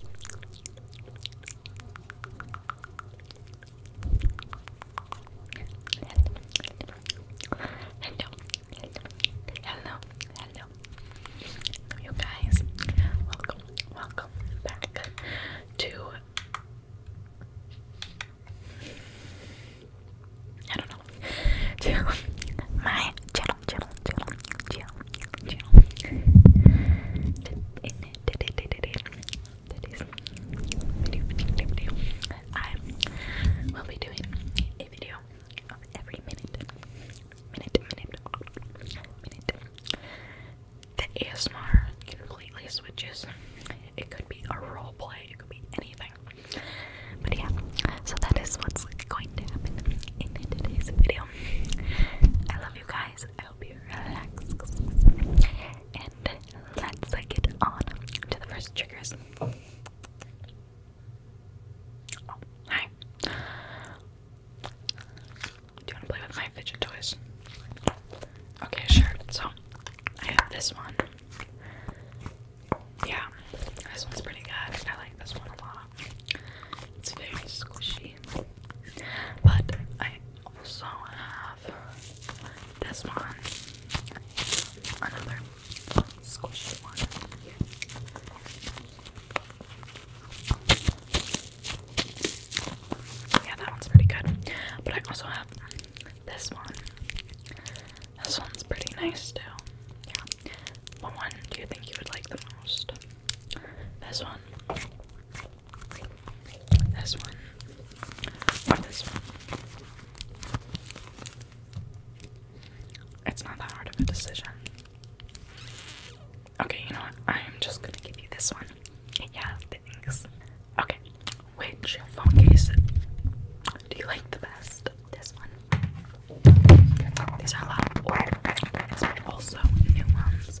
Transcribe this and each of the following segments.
Hello, hello, hello, you guys. Welcome, welcome back to. I don't know. To my channel, channel, channel, chill, chill. Today's video, I will be doing a video of every minute, minute, minute, minute. The ASMR completely switches. It could be a role play, it could be anything. But yeah, so that is what's going to happen in today's video. I love you guys. I hope you relax. And let's get on to the first triggers. Oh, hi. Do you want to play with my fidget toys? Okay, sure. So, I have this one. Yeah, this one's pretty good. I like this one a lot. It's very squishy. But I also have this one, another squishy one. Yeah, that one's pretty good. But I also have this one. This one's pretty nice too. Yeah. What one do you think you would like the most? This one. This one. Or this one. It's not that hard of a decision. Okay, you know what? I am just gonna give you this one. Yeah, thanks. Okay, which phone case do you like the best? This one. These are a also new ones.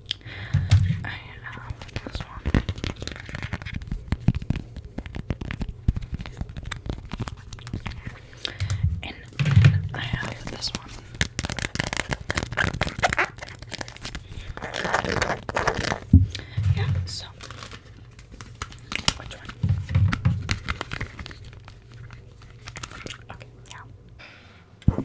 And I have this one. Yeah, so which one? Okay, yeah.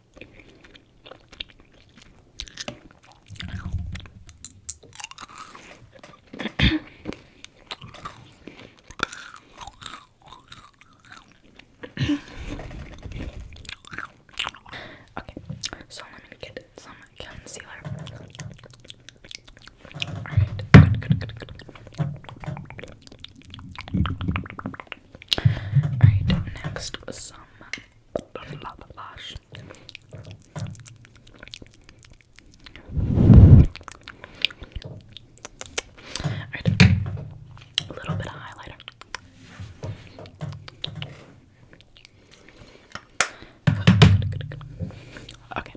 okay, so I'm gonna get some concealer. Alright, good, good, good, good. Alright, next was some blush. a little bit of highlighter. Okay,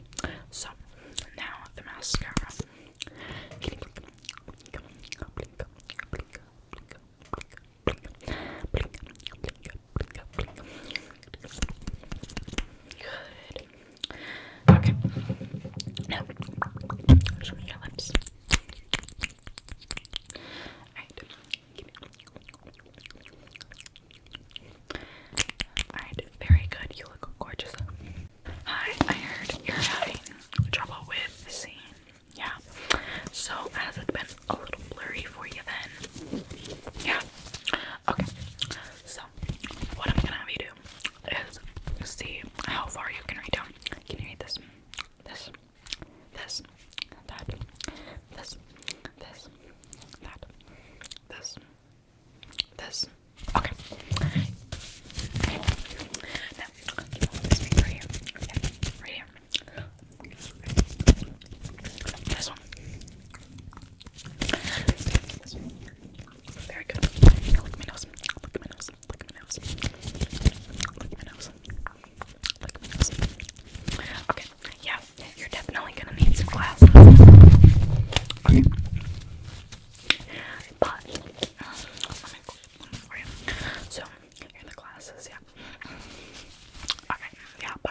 so now the mascara. Okay. Now, show me your lips. Alright, very good. You look gorgeous. Hi, I heard you're having trouble with seeing yeah. So has it been a little blurry for you then? Yeah. Okay. So what I'm gonna have you do is see how far you can read down. Can you read this? This, this, that, this, this, that, this, this. Okay. This one. This one. Very good. Look at my nose. Look at my nose. Look at my nose. Look at my nose. Look at my nose. Okay. Yeah, you're definitely gonna need some glasses. Okay. But let me, let me for you. So in the classes, yeah. Okay, yeah, bye.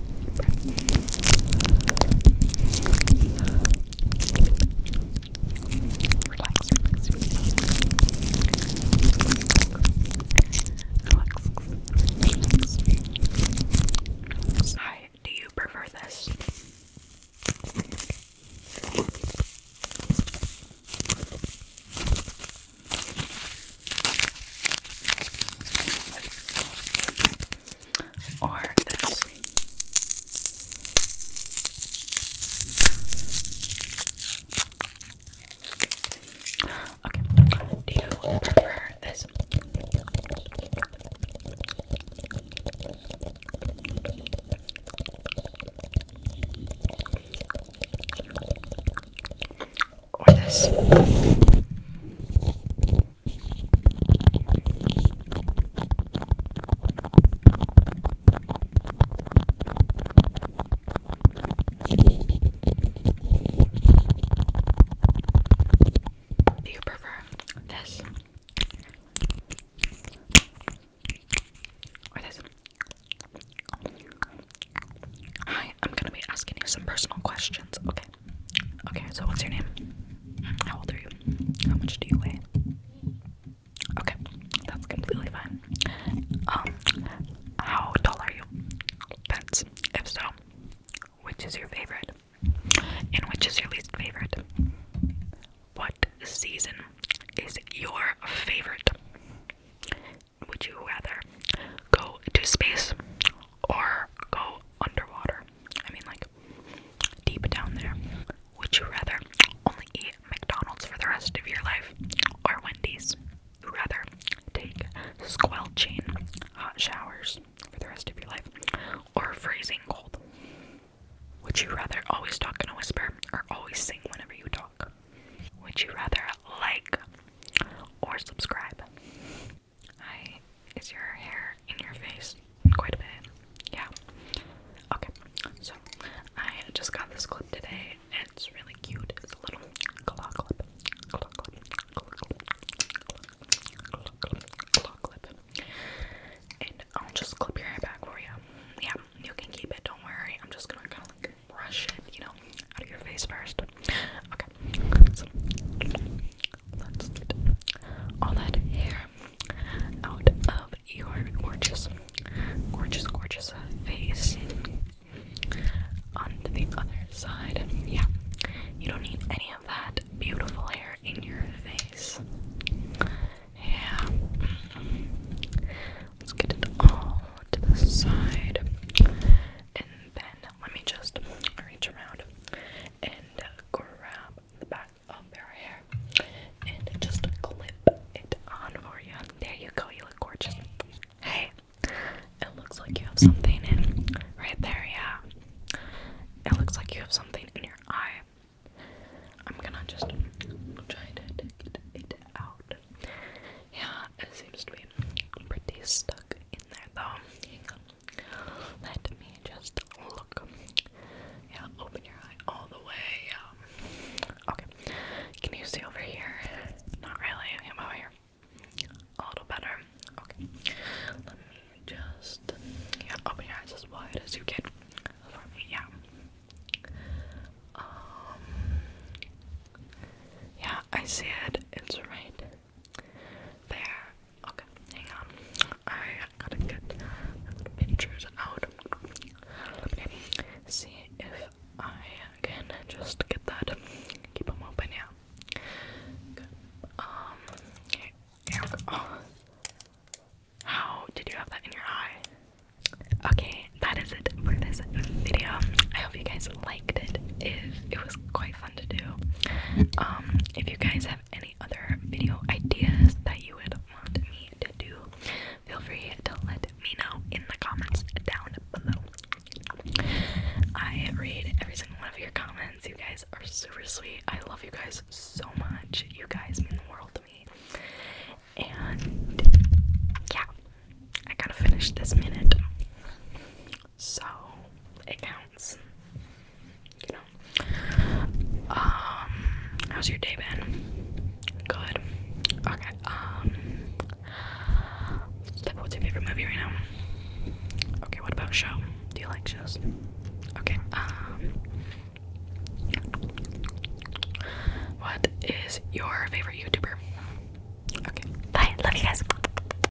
Relax, relax, relax. Relax. Hi, do you prefer this? or this. Okay, do you prefer this? Do you prefer this? Or this? Hi, I'm gonna be asking you some personal questions, okay? Okay. so what's your name? How old are you? How much do you weigh? Okay, that's completely fine. Um, how tall are you? That's if so. Which is your favorite? And which is your least favorite? What season is your favorite? Would you rather go to space or go underwater. I mean, like deep down there. Would you rather only eat McDonald's for the rest of your life or Wendy's? Rather take squelching hot showers for the rest of your life or freezing cold? Would you rather always talk in a whisper or always sing whenever you talk? Would you rather like or subscribe? Hi. Is your hair in your face? Quite a bit. Yeah. Okay. So I just got this clip today. It's really cute. It's a little claw clip. Claw clip. Claw clip. Claw clip. Claw clip. And I'll just clip your hair back for you. Yeah, you can keep it. Don't worry. I'm just gonna kind of like brush it, you know, out of your face first. Okay, let's get all that hair out of your gorgeous, gorgeous, gorgeous face onto the other side. Yeah, you don't need any of that beautiful hair in your face. Yeah, let's get it all to the side let me just reach around and grab the back of their hair and just clip it on for you. There you go, you look gorgeous. Hey, it looks like you have something in right there, yeah. It looks like you have something in your eye. I'm gonna just try to get it out. Yeah, it seems to be pretty stuck in there though. Let me just look. Yeah, open your eye all the way. Um, okay. Can you see over here? Not really. How about here? A little better. Okay. Let me just yeah, open your eyes as wide as you can for me. Yeah. Um, yeah, I see it. It's right there. Okay, hang on. I gotta get pictures out. Okay. See if I can just get that. Keep them open, yeah. Good. Um, okay. Oh. How did you have that in your eye? Okay, that is it for this video. I hope you guys liked it. If it was quite fun to do. Um, if you guys have any other video ideas that you would want me to do, feel free to let me know in the comments down below. I read every single one of your comments. You guys are super sweet. I love you guys so much. You guys mean the world to me. And yeah, I gotta finish this minute. So it counts. You know. Um how's your day been? Good. Okay. Um what's your favorite movie right now? Okay, what about show? Do you like shows? Okay, um what is your favorite YouTuber? Okay. Bye. Love you guys.